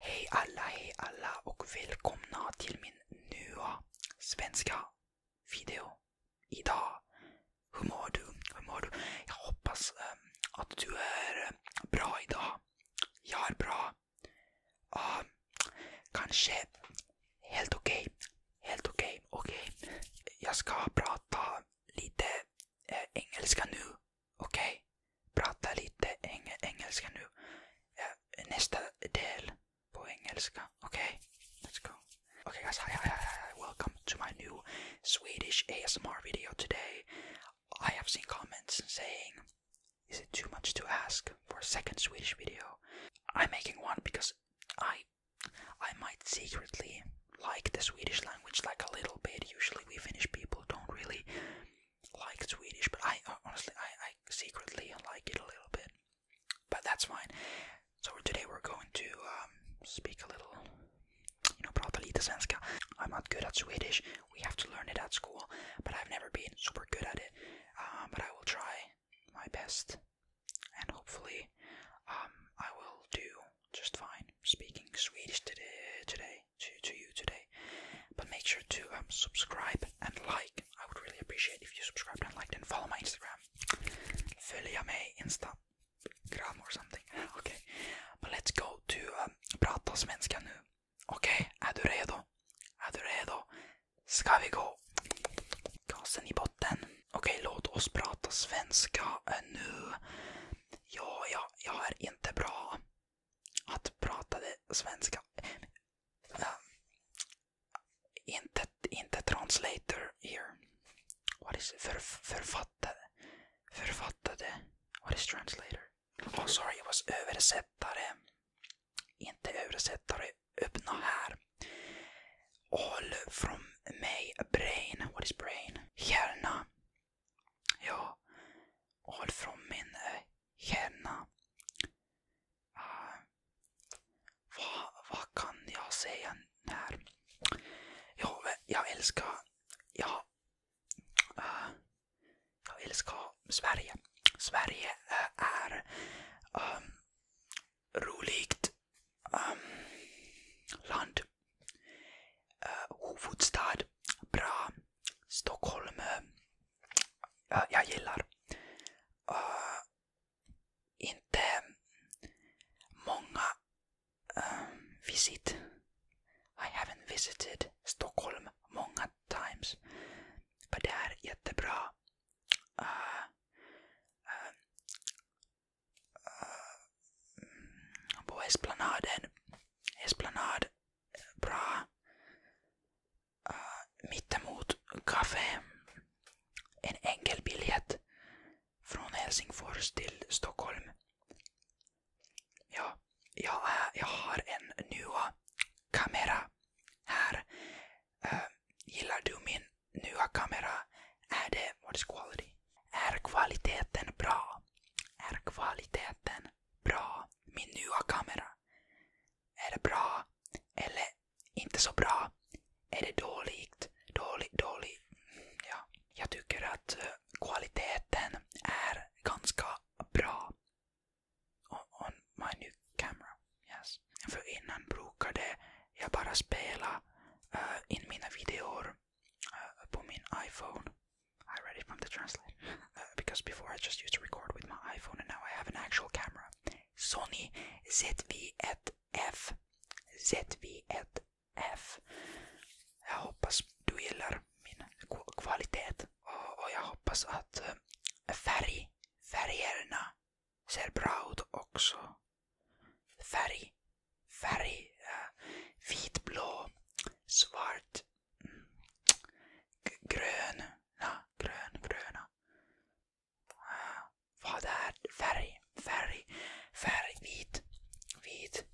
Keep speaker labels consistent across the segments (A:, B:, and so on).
A: Hej alla, hej alla och välkomna till min nya svenska video. Idag. Hur mår du? Hur mår du? Jag hoppas um, att du är ehm, bra idag. Jag är bra. Uh, kanske helt okej. Okay. Helt okej. Okay. Okej. Okay. Jag ska prata lite uh, engelska nu. Okej, okay. prata lite eng engelska nu. Ja, nästa del på engelska. Okej, okay. let's go. Okay guys, hi, hi, hi, hi, welcome to my new Swedish ASMR video today. I have seen comments saying, is it too much to ask for a second Swedish video? I'm making one because I I might secretly like the Swedish language like a little bit. Usually we Finnish people don't really like Swedish, but I uh, honestly I, I secretly like it a little bit. But that's fine. So today we're going to um, speak a little, you know, prata the svenska. I'm not good at Swedish. We have to learn it at school, but I've never been super good at it. Uh, but I will try my best, and hopefully, um, I will do just fine speaking Swedish today. Today, today, to, to you today. But make sure to um, subscribe and like. I would really appreciate if you subscribed and liked and follow my Instagram. Följame Instagram or something. Okay. But let's go to um, prata svenska nu. Okej, okay. är du redo? Är du redo? Ska vi gå? Gasen i botten. Okej, okay, låt oss prata svenska nu. Ja, ja, jag är inte bra. att pratade svenska. inte, inte translator here. What is För, författade. Författade. What is translator? Oh sorry, it was översättare. Inte översättare. Öppna här. All from mig. Brain. What is brain? Hjärna jag har från min eh, hjärna. Uh, ah. vad, vad kan jag säga här? Ja, jag älskar, ja, uh, jag älskar Sverige. Sverige uh, är um, roligt um, land. Uh, eh, huvudstad. Bra. Stockholm. Uh, jag gillar. Uh, inte många uh, visit. I haven't visited Stockholm många times. Men det är jättebra. Uh, uh, uh, på Esplanaden. Esplanad, bra. Uh, mittemot kaffe. En enkel biljett från Helsingfors till Stockholm. Ja, jag, jag har en ny kamera här. Uh, gillar du min nya kamera? Är det, what is quality? Är kvaliteten bra? Är kvaliteten bra? Min nya kamera? Är det bra? Eller inte så bra? Är det dåligt? Dålig, dålig? Ja. Jag tycker att eh, kvaliteten är ganska bra. On, on my new camera. Yes. För innan brukade jag bara spela uh, in mina videor uh, på min iPhone. I read it from the translator uh, because before I just used to record with my iPhone and now I have an actual camera. Sony ZV1F. ZV1F. Jag hoppas du gillar min kvalitet och, och jag hoppas att uh, färg, färgerna ser bra ut också. Färg, färg. Vitblå, svart, mm, grön, ja, grön, gröna. Vad är färg? Färg, färg, vit, vit.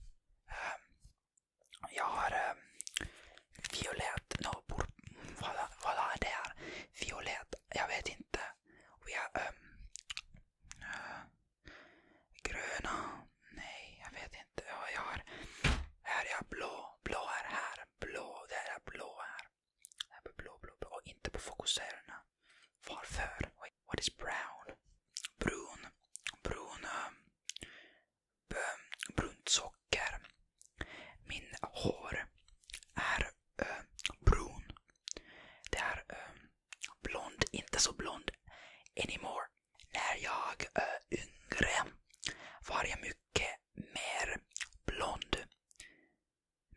A: Jag har ehm, violett, no, vad, vad är det här? Violett, jag vet inte. Och jag, ehm, Gröna? Nej, jag vet inte. Ja, jag har... Här är jag blå. Blå är här. Blå. Där är blå här. Där är blå, blå, blå. Och inte på fokusärerna. Varför? What is brown? Brun. Brun. Ehm, ehm, brunt socker. Min hår är um, brun. Det är um, blond, inte så blond anymore. När jag är eh, yngre var jag mycket mer blond.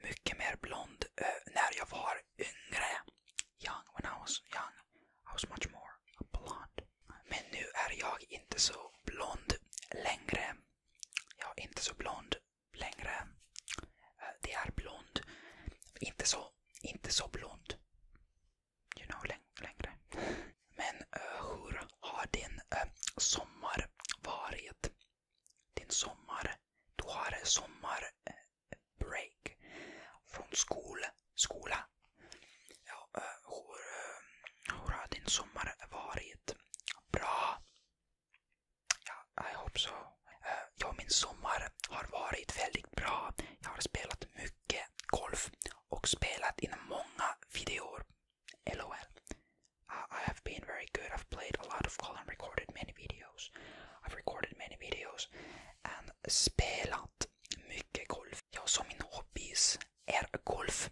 A: Mycket mer blond uh, när jag var yngre. Young, when I was young, I was much more blond. Men nu är jag inte så blond längre. Jag är inte så blond längre. Uh, det är blond, inte så inte så blond. You know, längre. Men uh, hur har din uh, sommar varit? Din sommar. Du har sommarbreak från skol, skola. Ja, uh, hur, uh, hur har din sommar varit? Bra. Ja, I hope so. Eh, ja, min sommar har varit väldigt bra. Jag har spelat mycket golf och spelat in många videor. LOL. Uh, I have been very good. I've played a lot of golf and recorded many videos. I've recorded many videos. And spelat mycket golf. Jag som min hobby är golf.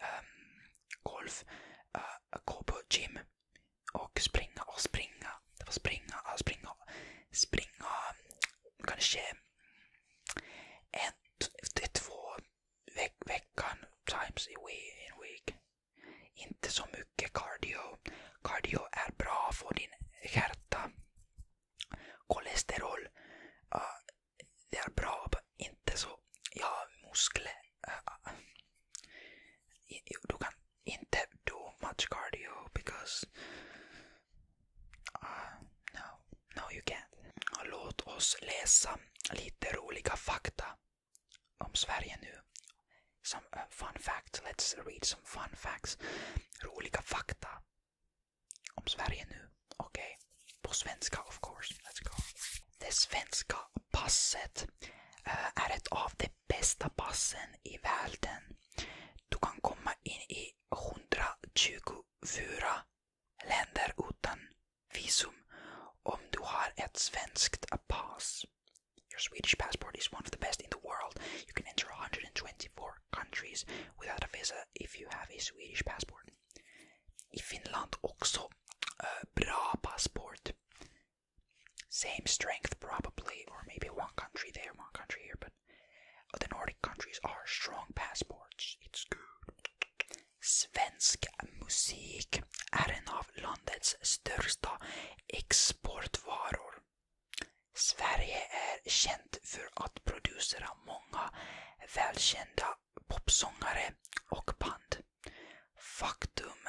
A: Um, golf. Uh, gå på gym och springa och springa. Det var springa, springa, springa kanske en, två veck, veckan times a week, in week. Inte så mycket cardio. Cardio är bra för din hjärta. Kolesterol. Uh, det är bra, inte så. Ja, muskler. Uh, du kan inte do much cardio because uh, no, no you can't. Låt oss läsa lite roliga fakta om Sverige nu. Some uh, fun facts. Let's read some fun facts. Roliga fakta om Sverige nu. Okej. Okay. På svenska of course. Let's go. This svenska passet uh, är ett bästa passen i världen. Du kan komma in i 124 länder utan visum om du har ett svenskt pass. Your Swedish passport is one of the best in the world. You can enter 124 countries without a visa if you have a Swedish passport. I Finland också uh, bra passport. Same strength, probably, or maybe one country there, one country here, but the Nordic countries are strong passports. It's good. Svensk musik är en av landets största exportvaror. Sverige är känt för att producera många välkända popsångare och band. Faktum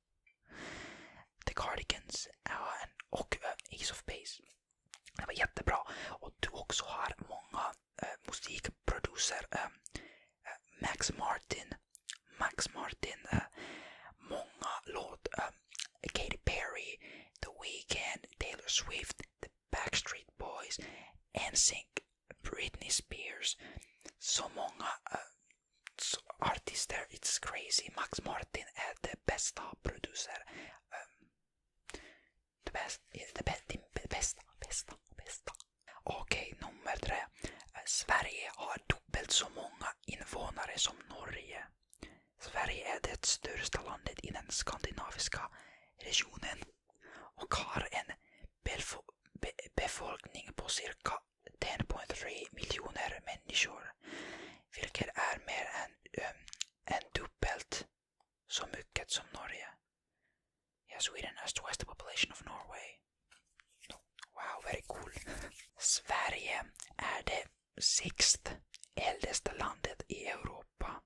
A: The Cardigans och eh, Ace of Base. Det var jättebra. Och du också har många uh, musikproducer. Um, Max Martin. Max Martin. Uh, många låt. Um, Katy Perry. The Weeknd. Taylor Swift. The Backstreet Boys. NSYNC. Britney Spears. Så många uh, artister, it's crazy. Max Martin är det bästa producer. Um, det bästa, det bästa, bästa, bästa. Okej, okay, nummer tre. Eh, Sverige har dubbelt så många invånare som Norge. Sverige är det största landet i den skandinaviska regionen och har en be befolkning på cirka 10,3 miljoner människor. Vilket är mer än, um, ehm, än dubbelt så mycket som Norge. Ja, Sweden has twice the population of Norway. Wow, very cool. Sverige är det sixth äldsta landet i Europa.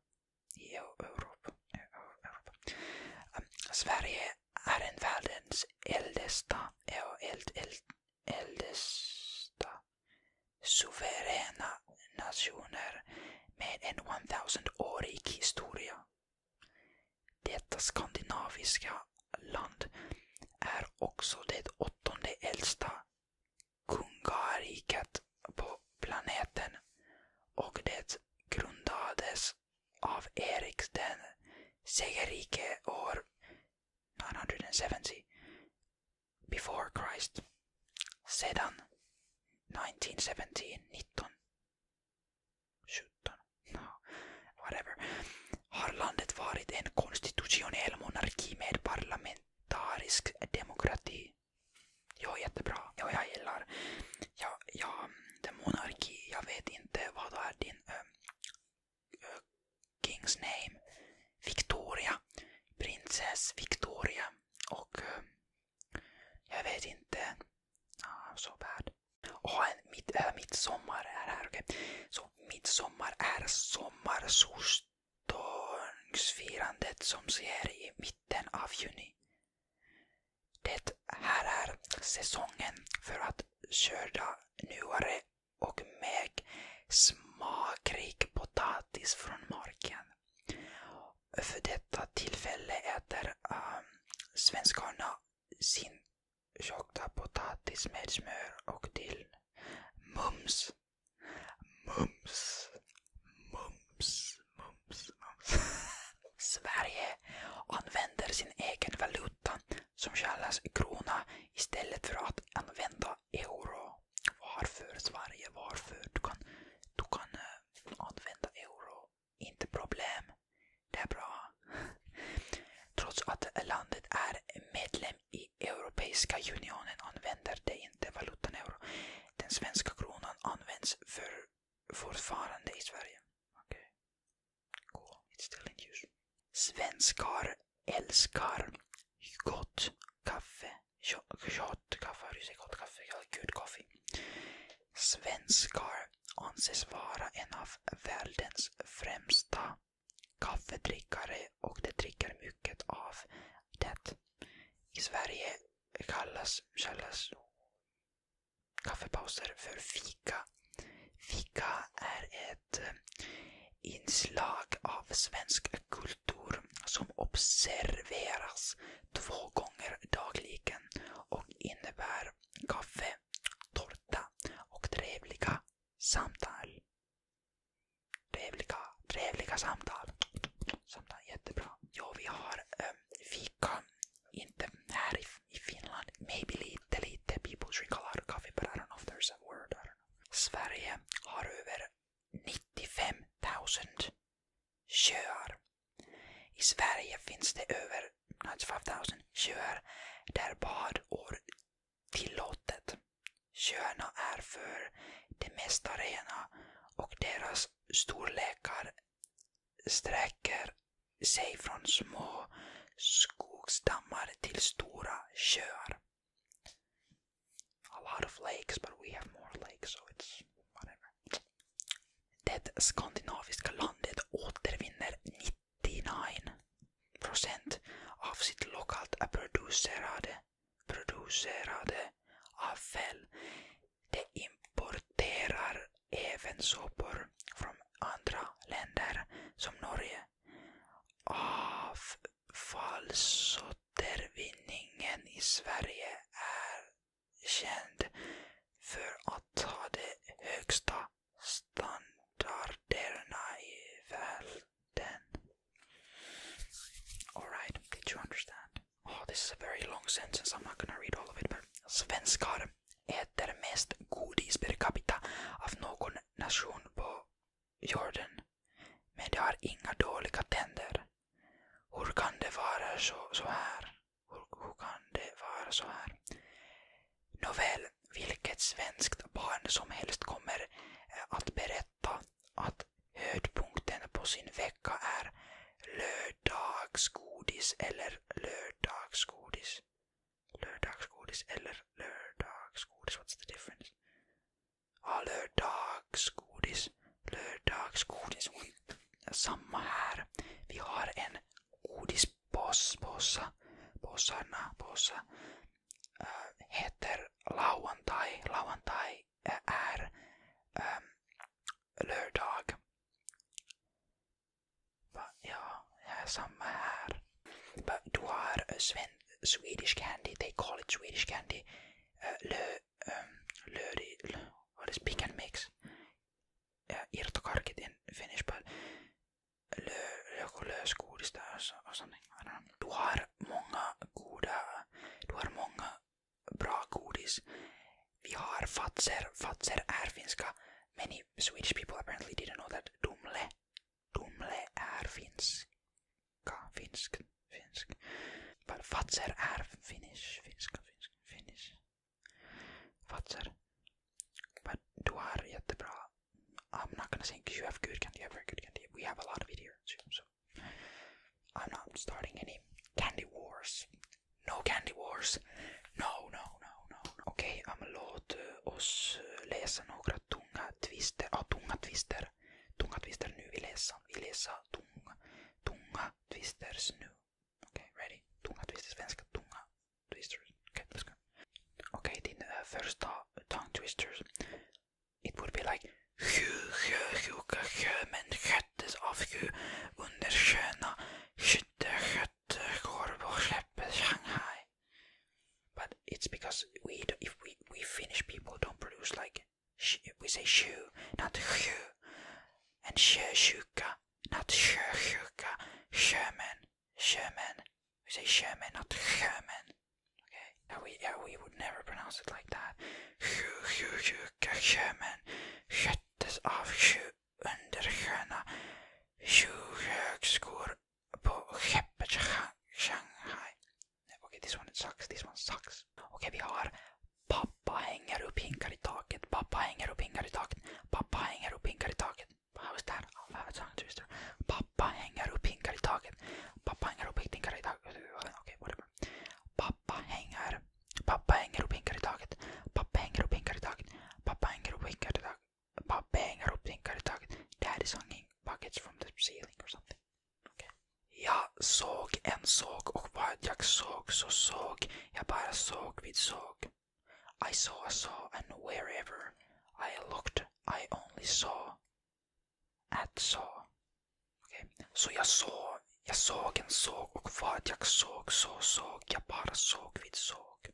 A: I Europa. Europa. Um, Sverige är en världens äldsta, ja, eld, äldsta suveräna nationer med en 1000-årig historia. Detta skandinaviska land är också det åttonde äldsta kungariket på planeten och det grundades av Erik den segerike år 970 before Christ sedan 1917, 19, 17, no, whatever, har landet varit en konstitutionell monarki med parlamentarisk demokrati. Jo, jättebra. Jo, jag gillar. Ja, ja, det monarki, jag vet inte vad är din... Eh, Kings name Victoria. Prinsess Victoria. Och eh, jag vet inte. Ah, så so bad. Oh, mitt, äh, midsommar är här. Okay. Så midsommar är sommarsolståndsfirandet som sker i mitten av juni. Det här är säsongen för att skörda nyare och mäg smakrik potatis från marken. För detta tillfälle äter äh, svenskarna sin tjocka potatis med smör och dill. Mums! Mums! Mums! Mums! Mums! Sverige använder sin egen valuta som kallas krona istället för att använda euro. Varför Sverige? Varför? Du kan, du kan eh, använda euro. Inte problem. Det är bra. Trots att landet är medlem i Europeiska unionen använder det inte valutan euro. Den svenska kronan används för fortfarande i Sverige. Cool, it's still Svenskar älskar gott kaffe. kaffe. Tjottkaffar, gott kaffe, good coffee. Svenskar anses vara en av världens främsta kaffedrickare och de dricker mycket av det. I Sverige kallas, kallas kaffepauser för fika. Fika är ett eh, inslag av svensk kultur som observeras två gånger dagligen och innebär kaffe, tårta och trevliga samtal. Trevliga, trevliga samtal. Samtal, jättebra. Jo, vi har um, fika, inte härifrån i Finland, maybe lite, lite. People drink a lot of coffee but I don't know if there's a word. I don't know. Sverige har över 95 000 sjöar. I Sverige finns det över 95 000 sjöar där badår tillåtet. Sjöarna är för det mesta rena och deras storlekar sträcker sig från små A lot of lakes, but we have more lakes, so it's whatever. Det skandinaviska landet återvinner 99% av sitt lokalt producerade, producerade avfall De importerar även sopor från andra länder som Norge. Avfallsåtervinningen i Sverige är känd för att ha de högsta standarderna i världen. Alright, did you understand? Oh, this is a very long sentence. I'm not gonna read all of it, but svenskar äter mest godis per capita av någon nation på jorden. Men de har inga dåliga tänder. Hur kan det vara så, så här? Hur, hur kan det vara så här? Nåväl, vilket svenskt barn som helst kommer eh, att berätta att höjdpunkten på sin vecka är lördagsgodis eller lördagsgodis. Lördagsgodis eller lördagsgodis. What's the difference? Ja, lördagsgodis. Lördagsgodis. Samma här. Vi har en godispåsa. Påsarna, påsa. Äh, eh, heter lauantai. Lauantai eh, är ähm, lure dog. But yeah, yeah er some här. But duar, eh, Sven, Swedish candy, they call it Swedish candy. Uh, eh, lö, um, ehm, löri, lö, what is pick and mix? Uh, irtokarkit in Finnish, but lö, joku lösgodis där or something, I don't know. Du har många goda, du har många bra godis. Vi har fatser. Fatser är er Many Swedish people apparently didn't know that Dumle, Dumle är er finska. Finsk. Finsk. But fatser är er finnish. Finnish Finnish. Fatser. But du har bra. i I'm not gonna say you have good candy, you have very good candy. We have a lot of it here so I'm not starting any candy wars. No candy wars. No, no, no, no. Okay, no. Okej, okay, låt eh, oss eh, läsa nogra tunga twister. Oh, tunga twister. Tunga twister nu. Vi läser, vi läser tunga, tunga twisters nu. okay, ready? Tunga twister, svenska tunga twisters. Okej, okay, Then first tongue twisters. It would be like... Hö, släpptes avsky under sköna skytterskötterskor på släppet Shanghai. But it's because we if we, we Finnish people don't produce like we say shoe, not shoe, and sjösjuka, not sjösjuka, sherman, sjömän. We say sherman, not sjömän. Okay, we yeah we would never pronounce it like that. sjuka sjömän sköttes av sju undersköna sjuhögskor på skeppet Shanghai. Okej, okay, this one sucks, this one sucks. Okej, okay, vi har Pappa hänger upp hinkar i taket. Pappa hänger upp hinkar i taket. Pappa hänger upp hinkar i taket. How is that? I'll have a tongue twister. Pappa hänger upp hinkar i taket. Pappa hänger upp hinkar i taket. Okej, okay, whatever. Pappa hänger Papa hänger och pinkar i taket. Pappa hänger och pinkar i taket. Pappa hänger och Papa i taket. Pappa hänger och Daddy's hanging buckets from the ceiling or something. Yeah, Jag and en såg och Jack jag såg så såg jag bara såg vid I saw, saw and wherever I looked I only saw at saw. Okay. Så jag såg, jag såg en såg och vad jag såg så såg jag bara såg vid såg.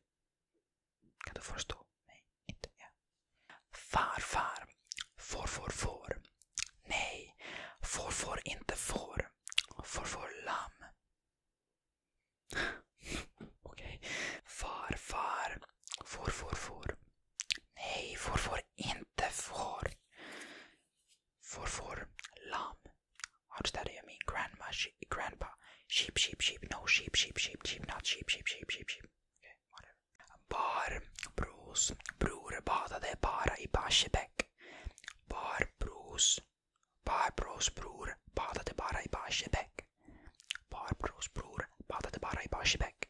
A: Kan du förstå? Nej, inte jag. Farfar. Farfar får. får. Nej, får, får, inte får. Får, får lamm. Okej. Okay. Farfar. Farfar får. får. Nej, får, får, inte får. for for lamb. How does that I mean grandma grandpa sheep sheep sheep no sheep sheep sheep sheep not sheep sheep sheep sheep sheep okay whatever bar brus bror badade bara i bar brus bar bros bror badade bara i Barsebäck bar bros bror badade bara i Barsebäck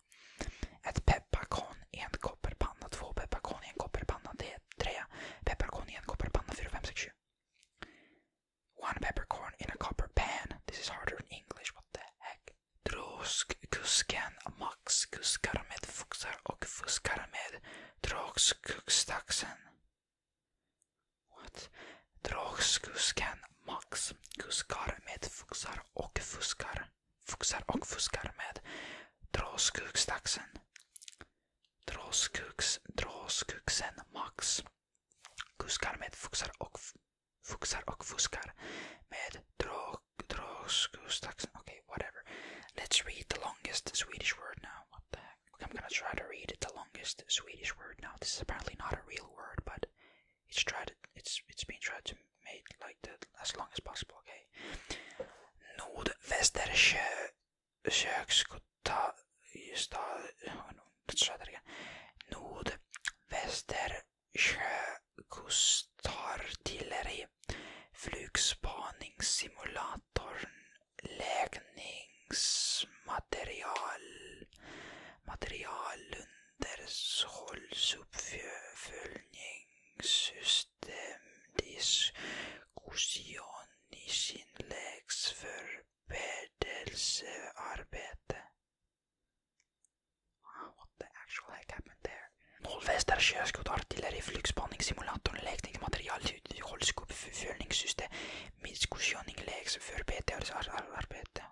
A: Ett pepparkorn i en kopparpanna, två pepparkorn i en kopparpanna, tre pepparkorn i en kopparpanna, fyra, fem, sex, sju. One peppercorn in a copper pan. This is harder in English. What the heck? Droskusken, Max kuskar med fuxar och fuskar med Droskusdaxen. What? Droskusken, Max kuskar med fuxar och fuskar fuxar och fuskar med dråskuggstaxen. Dråskugs, dråskugsen max. Kuskar med fuxar och fuxar och fuskar med dråskuggstaxen. Okay, whatever. Let's read the longest Swedish word now. What the heck? I'm gonna try to read the longest Swedish word now. This is apparently not a real word, but it's tried. It's it's been tried to make like that as long as possible. Okay. Nordvästersjö köksgata stad. Let's try that again. Nordvästersjö kustartilleri flugspaningssimulatorn läggningsmaterial materialen länders hålls uppföljningssystem diskussion i sin läggs läxförberedelsearbete. Wow, what the actual heck happened there? Nordvästra körskott, artilleri, flygspaningssimulatorn, läkningsmaterial, hålls uppföljningssystem, diskussion i läggs läxförberedelsearbete.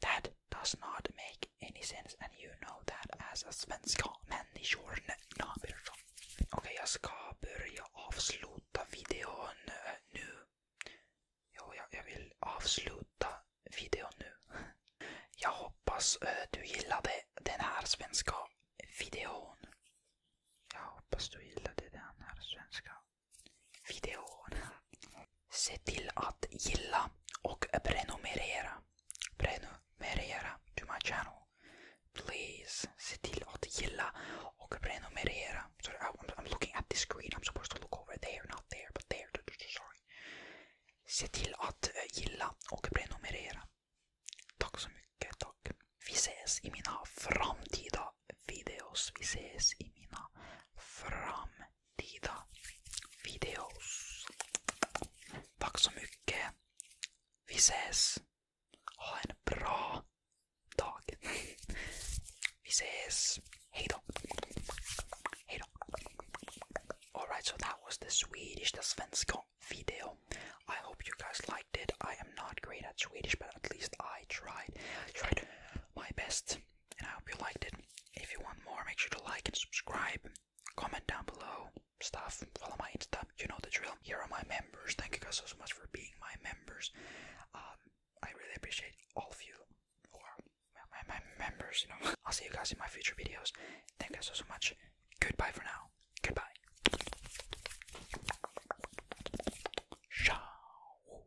A: That does not make any sense and you know that as a svenska människor. Okej, okay, jag ska börja avsluta videon eh, nu. Jo, jag, jag vill avsluta videon nu. Jag hoppas eh, du gillade den här svenska videon. Jag hoppas du gillade den här svenska videon. Se till att gilla och prenumerera. Prenumerera to my channel. Please, se till att gilla och prenumerera. Sorry, I'm, I'm looking at the screen. I'm supposed to look over there, not there, but there. Sorry. Se till att eh, gilla och prenumerera. Tack så mycket. Tack. Vi ses i mina framtida videos. Vi ses i mina framtida framtida videos. Tack så mycket. Vi ses. Ha en bra dag. Vi ses. Hejdå. Hejdå. Alright, so that was the Swedish, the svenska video. I hope you guys liked it. I am not great at Swedish, but at least I tried. Tried my best and I hope you liked it. If you want more, make sure to like and subscribe, comment down below, stuff, follow my Insta, you know the drill. Here are my members, thank you guys so, so much for being my members. Um, I really appreciate all of you who my, my members, you know. I'll see you guys in my future videos. Thank you guys so, so much. Goodbye for now. Goodbye. Ciao.